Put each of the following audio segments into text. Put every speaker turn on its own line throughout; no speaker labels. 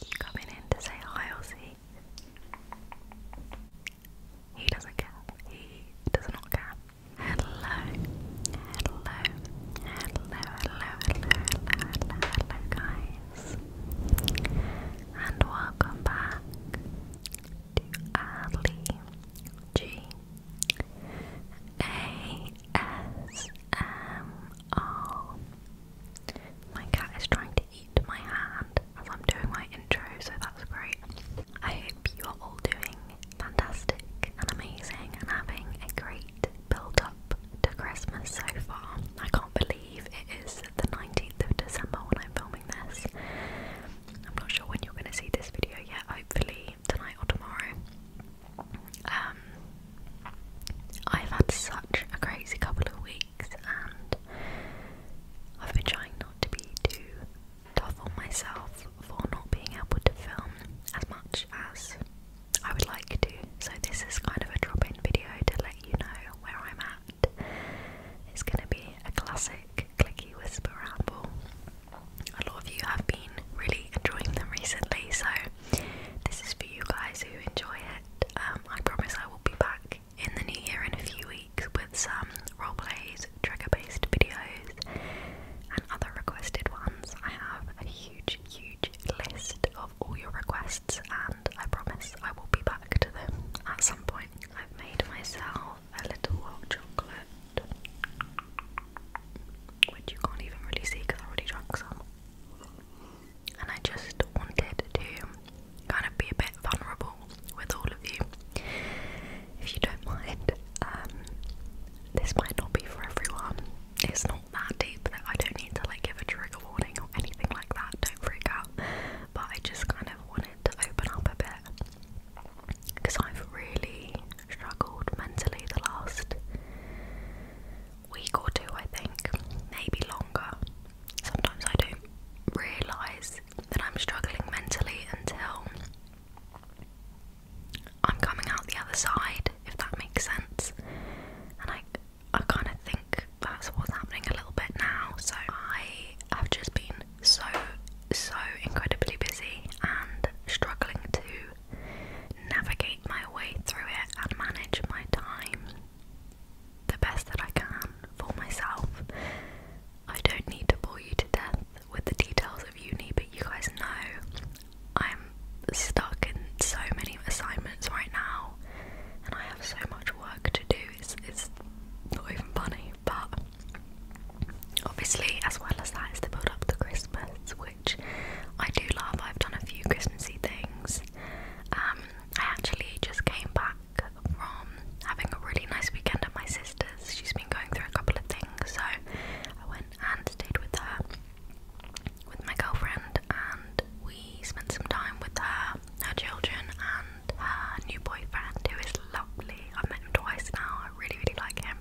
You coming in to say hi, Ozzy? He doesn't care. He does not care. Hello, hello, hello, hello, hello, hello, guys. And welcome back to Ali G ASMR. My cat is trying to eat my hand as I'm doing my intro, so that's great. I hope you are all doing fantastic and amazing and having a great build up to Christmas so far. I can't believe it is the 19th of December when I'm filming this. I'm not sure when you're going to see this video yet, hopefully tonight or tomorrow. Um, I've had such a crazy couple of weeks, and I've been trying not to be too tough on myself for not being able to film as much as I would like to. So, this is kind of a drop in video to let you know where I'm at. It's going to be a classic clicky whisper rambles. A lot of you have been really enjoying them recently, so this is for you guys who enjoy it. Um, I promise I will be back in the new year in a few weeks with some role plays, trigger based videos, and other requested ones. I have a huge, huge list of all your requests, and I promise I will be back to them at some point. I've made myself a little hot chocolate, which you can't even really see because I already drank some. And I just wanted to kind of be a bit vulnerable with all of you, if you don't mind. Um, this might not be for everyone. It's not that deep that I don't need to like give a trigger warning or anything like that. Don't freak out. But I just kind of wanted to open up a bit because I've really struggled mentally the last week or two, I think, maybe longer. Sometimes I do realise that I'm struggling mentally until I'm coming out the other side, if that makes sense. And I, I kind of think that's what's happening a little bit now. So I have just been so, so incredibly busy and struggling to navigate my way through it and manage my time the best that I can for myself. I don't need to bore you to death with the details of uni, but you guys know I'm stuck in so many assignments right now and I have so much work to do, it's, it's not even funny but obviously as well as that is the build up to Christmas which I do love. I've done a few Christmassy things. Um, I actually just came back from having a really nice weekend at my sister's. She's been going through a couple of things so I went and stayed with her with my girlfriend and we spent some time with her, her children and new boyfriend, who is lovely. I've met him twice now, I really, really like him.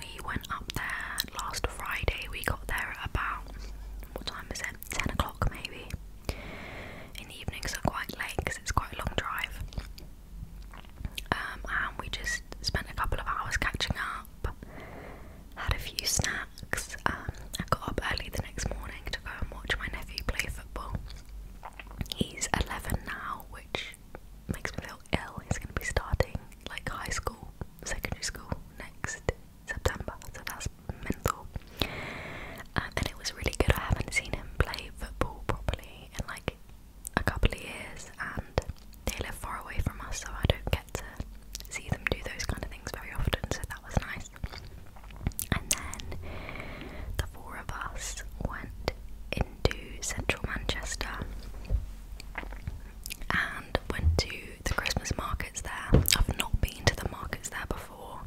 We went up there last Friday, we got there at about what time is it? 10 o'clock maybe. And the evenings are quite late because it's quite a long drive. Um, and we just spent a couple of hours catching up, had a few snacks. Um, I got up early the next morning to go and watch my nephew play football. He's 11 now, which makes me feel ill. He's going to be starting like high school, secondary school next September, so that's mental. and it was really good. I haven't seen him play football properly in like a couple of years, and they live far away from us, so I don't get to see them do those kind of things very often. So that was nice. And then the four of us went into central Manchester and went to the Christmas markets there. I've not been to the markets there before.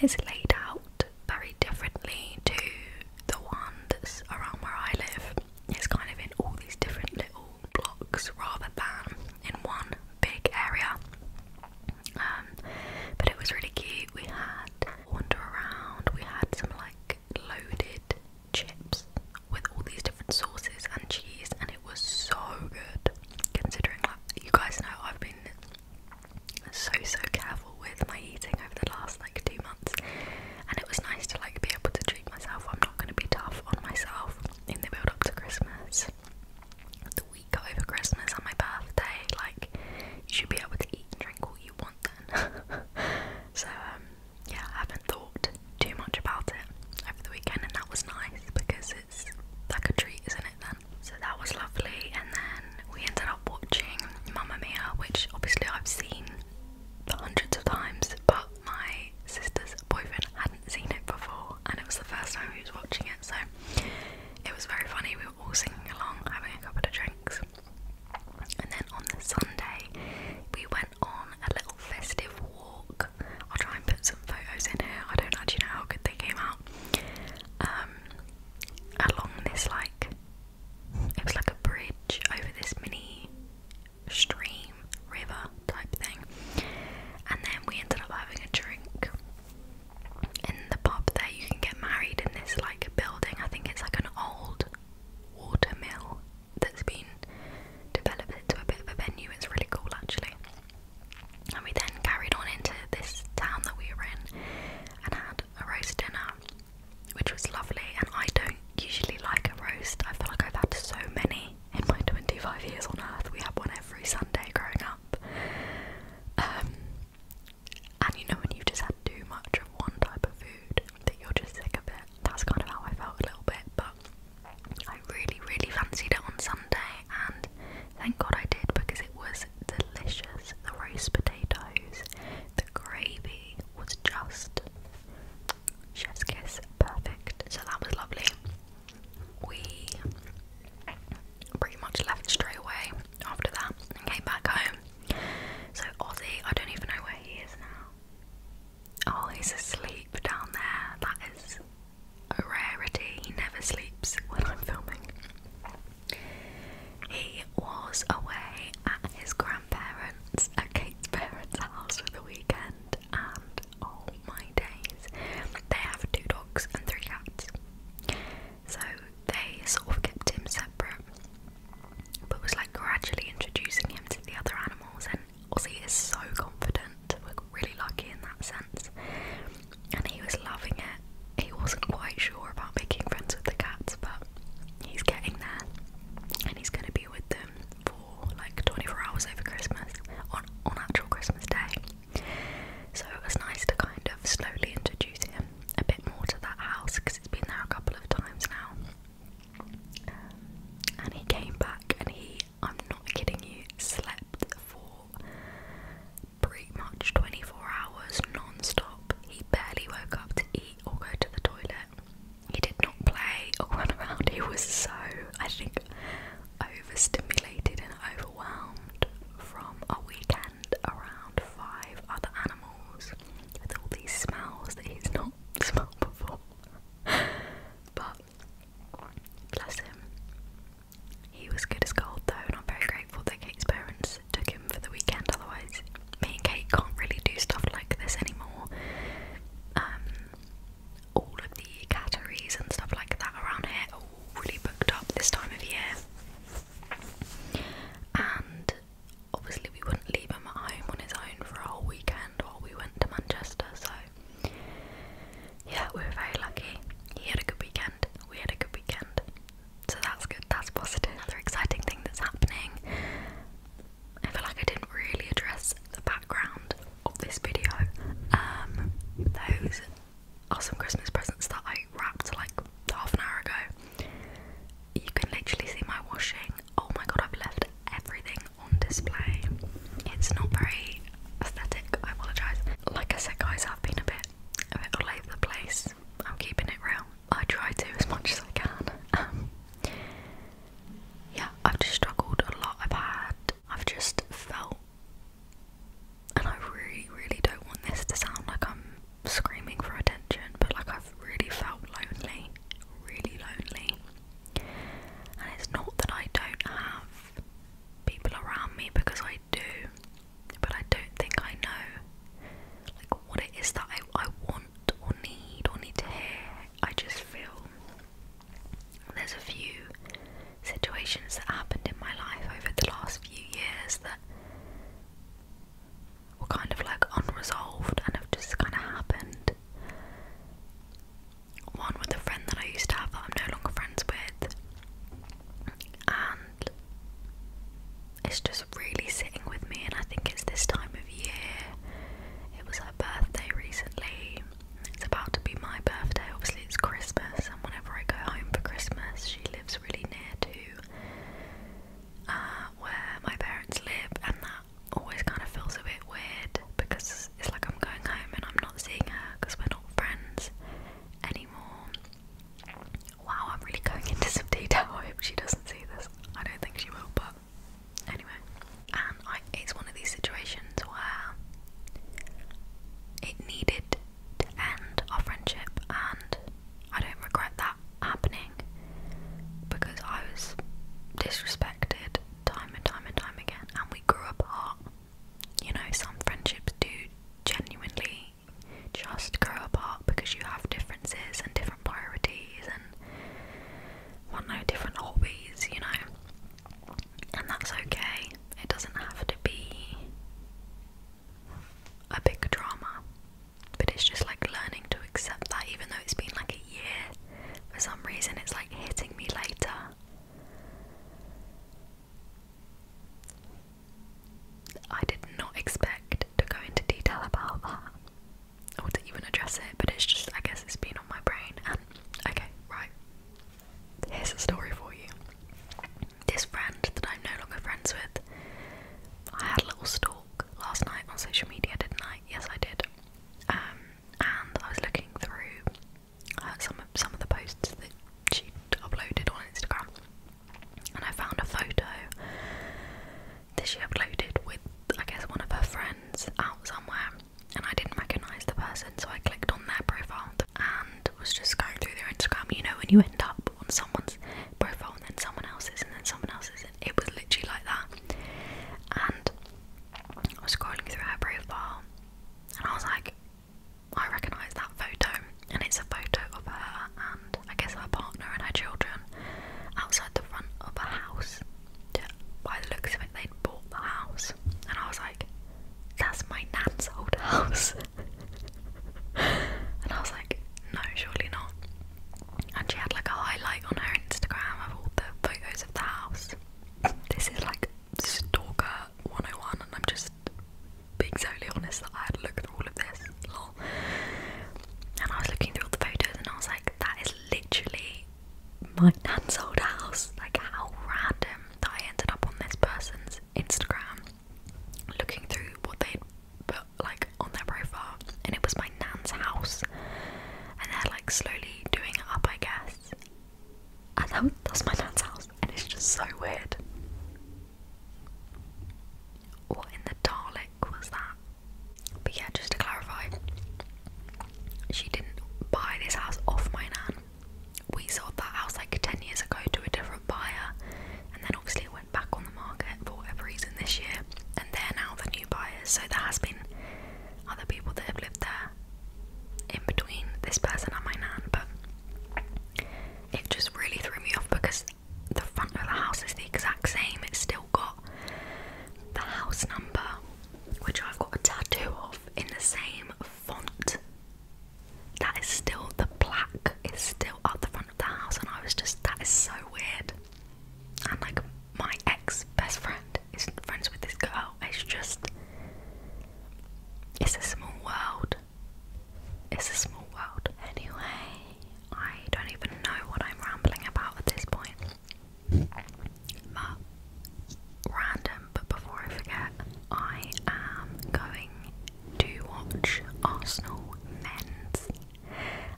It's laid out very differently to the one that's around where I live. It's kind of in all these different little blocks rather than in one big area. Um, but it was really cute. We had wander around. We had some like loaded chips with all these different sauces and cheese, and it was so good. Considering, like, you guys know, I've been so so careful with my eating over the last like two months, and it was nice to like be able to treat myself. I'm not going to be tough on myself in the build up to Christmas we got over Christmas and my birthday. Like, you should be able to eat and drink all you want then. so, um, yeah, I haven't thought too much about it over the weekend, and that was nice because it's like a treat, isn't it? Then, so that was lovely, and then we ended up watching Mamma Mia, which obviously I've seen hundreds of times, but my sister's boyfriend hadn't seen it before, and it was the first time he was watching it, so it was very funny. We all singing along, having a couple of drinks. And then on the Sunday, we went on a little festive walk. I'll try and put some photos in here. I don't actually know how good they came out. Um, along this like it was like a bridge over this mini stream river type thing, and then we ended up having a drink in the pub there you can get married in this like building. I think it's like an old water that's been developed into a bit of a venue. It's really cool actually. And we then carried on into this town that we were in and had a roast dinner, which was lovely. And I don't usually like a roast. I feel like I've had so many in my 25 years on earth. We had one every Sunday growing up. Um, and you know when you've just had too much of one type of food that you're just sick of it. That's kind of how I felt a little bit, but I really, really fancied it on Sunday and thank God I did because it was delicious. The roast potatoes, the gravy was just chef's kiss perfect. So that was lovely we pretty much left straight away after that and came back home. So Ozzy, I don't even know where he is now. Oh, he's asleep down there. That is a rarity. He never sleeps when I'm filming. He was away at his grandparents, at uh, Kate's parents' house for the weekend, and oh my days, they have two dogs and three cats. So they sort of kept him separate, but was like gradually introducing him to the other animals. And Ozzy is so confident, we're really lucky in that sense. And he was loving it. He wasn't quite sure about making friends with the cats, but he's getting there and he's going to be with them for like 24 hours over Christmas on, on actual Christmas Day. So it was nice to kind of slowly introduce him a bit more to that house because it's been there a couple of times now. and he came back and he, I'm not kidding you, slept for pretty much 24 hours non stop. He barely woke up to eat or go to the toilet. He did not play or run around. He was so, I think, overstimulated and overwhelmed from a weekend around five other animals with all these smells that he's not smelled before. but bless him. He was good as gold though, I'm very grateful that Kate's parents took him for the weekend, otherwise, me and Kate can't really do stuff like this anymore. Um, all of the catteries and stuff like that around here are all really booked up this time of year. And obviously, we wouldn't leave him at home on his own for a whole weekend while we went to Manchester, so yeah, we were very lucky. He had a good weekend, we had a good weekend, so that's good, that's positive. Another exciting thing that's happening. I feel like I didn't really address the background of this video. Um, those are some Christmas presents that I wrapped like half an hour ago. You can literally see my washing. Oh my god, I've left everything on display. It's not very aesthetic, I apologise. Like I said guys, I've been a bit a bit all over the place. I'm keeping it real. I try to as much as I can. Um, yeah, I've just struggled a lot. I've had I've just felt, and I really, really don't want this to sound like I'm screaming for attention, but like I've really felt lonely, really lonely. And it's not that I don't have people around me because I do, but I don't think I know like what it is that I, I want or need or need to hear. I just feel there's a few situations that happened in my life over the last few years that were kind of like unresolved and have just kind of happened. One with a friend that I used to have that I'm no longer friends with, and it's just really sitting with me. And I think it's this time of year. It was her birthday recently, it's about to be my birthday. Obviously, it's Christmas, and whenever I go home for Christmas, she lives really near to uh, where my parents live, and that always kind of feels a bit weird because it's like I'm going home and I'm not seeing her because we're not friends anymore. Wow, I'm really going into some detail. I hope she doesn't see this. I don't think she will, but anyway and it's one of these situations where it needed to end our friendship, and I don't regret that happening because I was disrespected time and time and time again, and we grew apart. You know, some friendships do genuinely just grow apart because you have differences and different priorities and want no different hobbies, you know and that's okay. It doesn't have to be a big drama, but it's just like learning to accept that, even though it's been like a year, for some reason it's like hitting me later. I did not expect to go into detail about that or to even address it, but it's just, I guess, it's been on my brain, and Okay, right. Here's a story for you. This friend that I'm no longer friends with, I had a little stalk last night on social media, didn't I? Yes, I did. Um, and I was looking through uh, some of some of the posts that she uploaded on Instagram, and I found a photo that she uploaded with, I guess, one of her friends out somewhere and I didn't recognise the person, so I clicked on their profile and was just going through their Instagram. You know, when you end up on someone's profile and then someone else's and then someone else's, and it was literally like that. And I was scrolling through her profile, and I was like, I recognise that photo, and it's a photo of her and I guess her partner and her children outside the front of a house by the looks of it, they'd bought the house, and I was like, that's my nan's old house. and I was like, no, surely not. And she had like a highlight on her Instagram of all the photos of the house. This is like Stalker 101, and I'm just being totally honest that I had looked through all of this. Lol. And I was looking through all the photos, and I was like, that is literally my nan's old house. Like, how random that I ended up on this person's Instagram looking through what they'd put like on their profile, and it was my nan's house, and they're like slowly doing it up, I guess. And that, that's my nan's house, and it's just so weird. What in the Dalek was that? But yeah, just to clarify, she didn't buy this house off my nan. We sold that house like 10 years ago to a different buyer, and then obviously it went back on the market for whatever reason this year, and they're now the new buyers. So there has been other people that have lived there in between this person and my nan, but it just really threw me off because the front of the house is the exact same, it's still got the house number, which I've got a tattoo of in the same font. That is still the plaque is still at the front of the house, and I was just that is so weird. And like my ex best friend is friends with this girl. It's just it's a small world. It's a small world. Anyway, I don't even know what I'm rambling about at this point random, but before I forget, I am going to watch Arsenal men's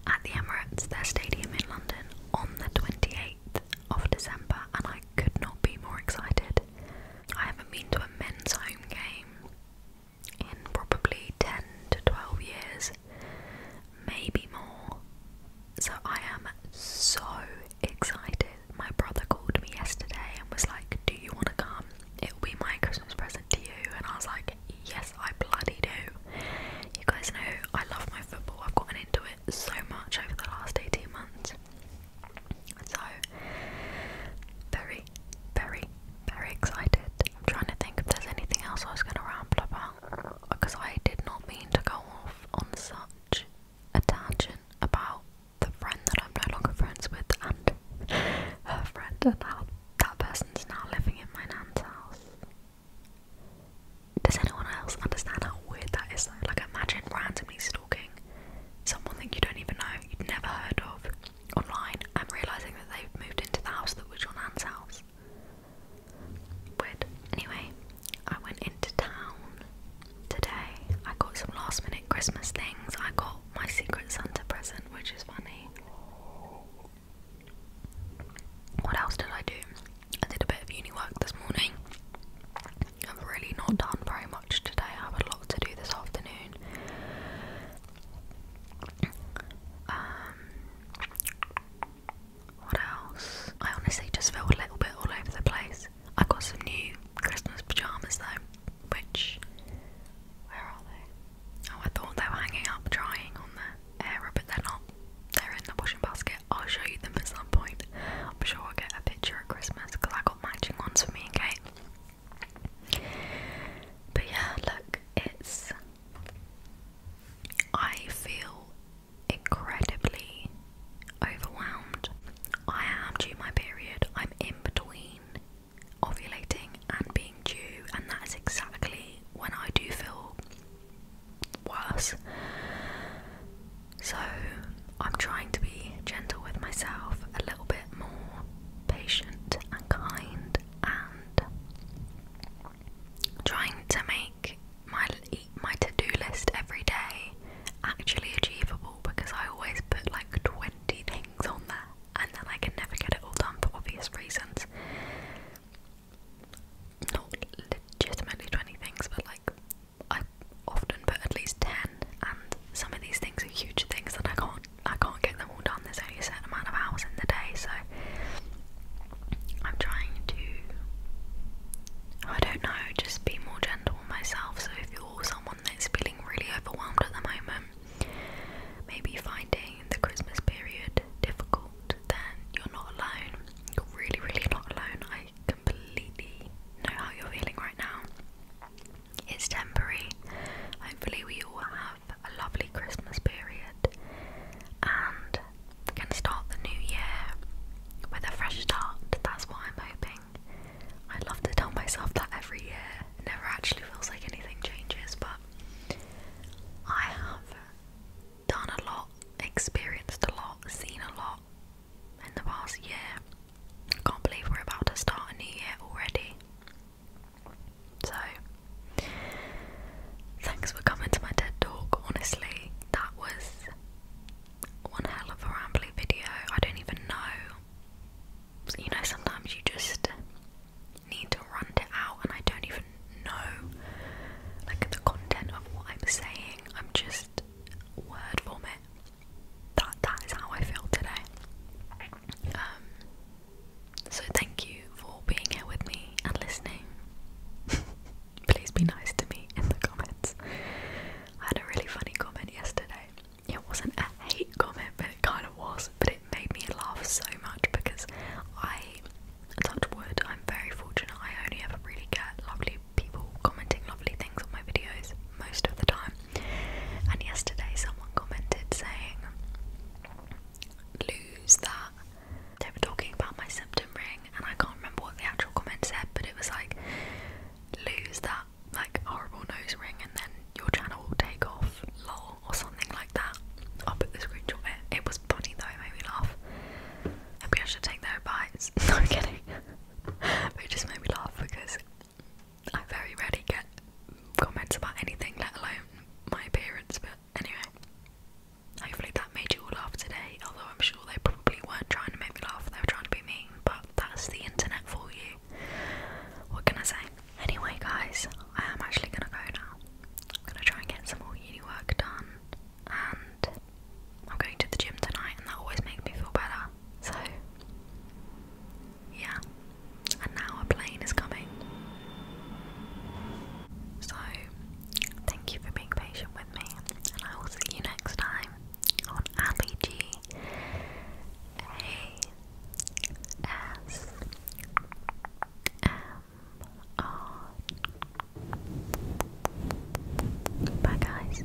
at the Emirates, their stadium in London, on the 28th of December, and I could not be more excited. I haven't been to a men's home game in probably 10 to 12 years, maybe more. So I am so excited. My brother called me yesterday and was like, Do you want to come? It'll be my Christmas present to you. And I was like, Yes, I bloody do. You guys know I love my football, I've gotten into it so much over the last 18 months. So, very, very, very excited. I'm trying to think if there's anything else I was going to ramble about because I did not mean to go off on such a tangent about the friend that I'm no longer friends with and her friend and how that person's now living in my nan's house. Does anyone else understand how weird that is though? Like imagine randomly stalking someone that you don't even know, you would never heard of online and realising that they've moved into the house that was your aunt's house. Anyway, I went into town today. I got some last minute Christmas things. I got my Secret Santa present, which is funny. What else did I do? I did a bit of uni work this morning. I've really not done very much today. I have a lot to do this afternoon. Um, what else? I honestly just felt a little bit all over the place. I got some new Christmas pajamas though, which where are they? Oh, I thought they were hanging up drying on the air, but they're not. They're in the washing basket. I'll show you them at some point. I'm sure I'll get a picture at Christmas because I got matching ones for me and Kate. But yeah, look, it's I feel incredibly overwhelmed. I am due my period. I'm in between ovulating and being due, and that is exactly when I do feel worse. So I'm trying to be gentle with myself, a little bit more patient and kind, and trying to make my my to-do list every day actually achievable because I always put like 20 things on there and then I can never get it all done for obvious reasons. Not legitimately 20 things, but like I often put at least 10, and some of these things are huge things that I can't I can't get them all done. There's only a certain amount of hours in the day, so I'm trying to, I don't know, just be more gentle on myself. So if you're someone that's feeling really overwhelmed at the moment, maybe finding the Christmas period difficult, then you're not alone. You're really, really not alone. I completely know how you're feeling right now. It's temporary. Hopefully, we all have a lovely Christmas period and can start the new year with a fresh start. That's what I'm hoping. I love to tell myself that every year. never actually feels like anything changes, but I have done a lot, experienced a lot, seen a lot in the past year. I can't believe we're about to start a new year already. So, thanks for coming to my TED talk. Honestly, that was one hell of a rambly video. I don't even know. You know, sometimes you just need to run it out, and I don't even know like the content of what I'm saying. I'm just word vomit. That that is how I feel today. Um, so thank you for being here with me and listening. Please be nice to me in the comments. I had a really funny comment yesterday. It wasn't a hate comment, but it kind of was. But it made me laugh so much because I, touch wood, I'm very fortunate. I only ever really get lovely people commenting lovely things on my videos most of the time. And yesterday, someone commented saying, lose that. They were talking about my symptom ring, and I can't remember what the actual comment said, but it was like, lose that like horrible nose ring, and then your channel will take off, lol, or something like that. I'll put the screenshot in. It was funny though, it made me laugh. Maybe I should take their advice. No, I'm kidding. it just made me laugh because I very rarely get comments about anything, let alone my appearance, but anyway. Hopefully that made you all laugh today, although I'm sure they probably weren't trying to make me laugh, they were trying to be mean, but that's the internet for you. What can I say? Anyway guys, I am actually gonna go now. I'm gonna try and get some more uni work done and I'm going to the gym tonight and that always makes me feel better. So yeah, and now a plane is coming. So, thank you for being patient with me, and I will see you next time on Ali G A S M R. Bye, guys.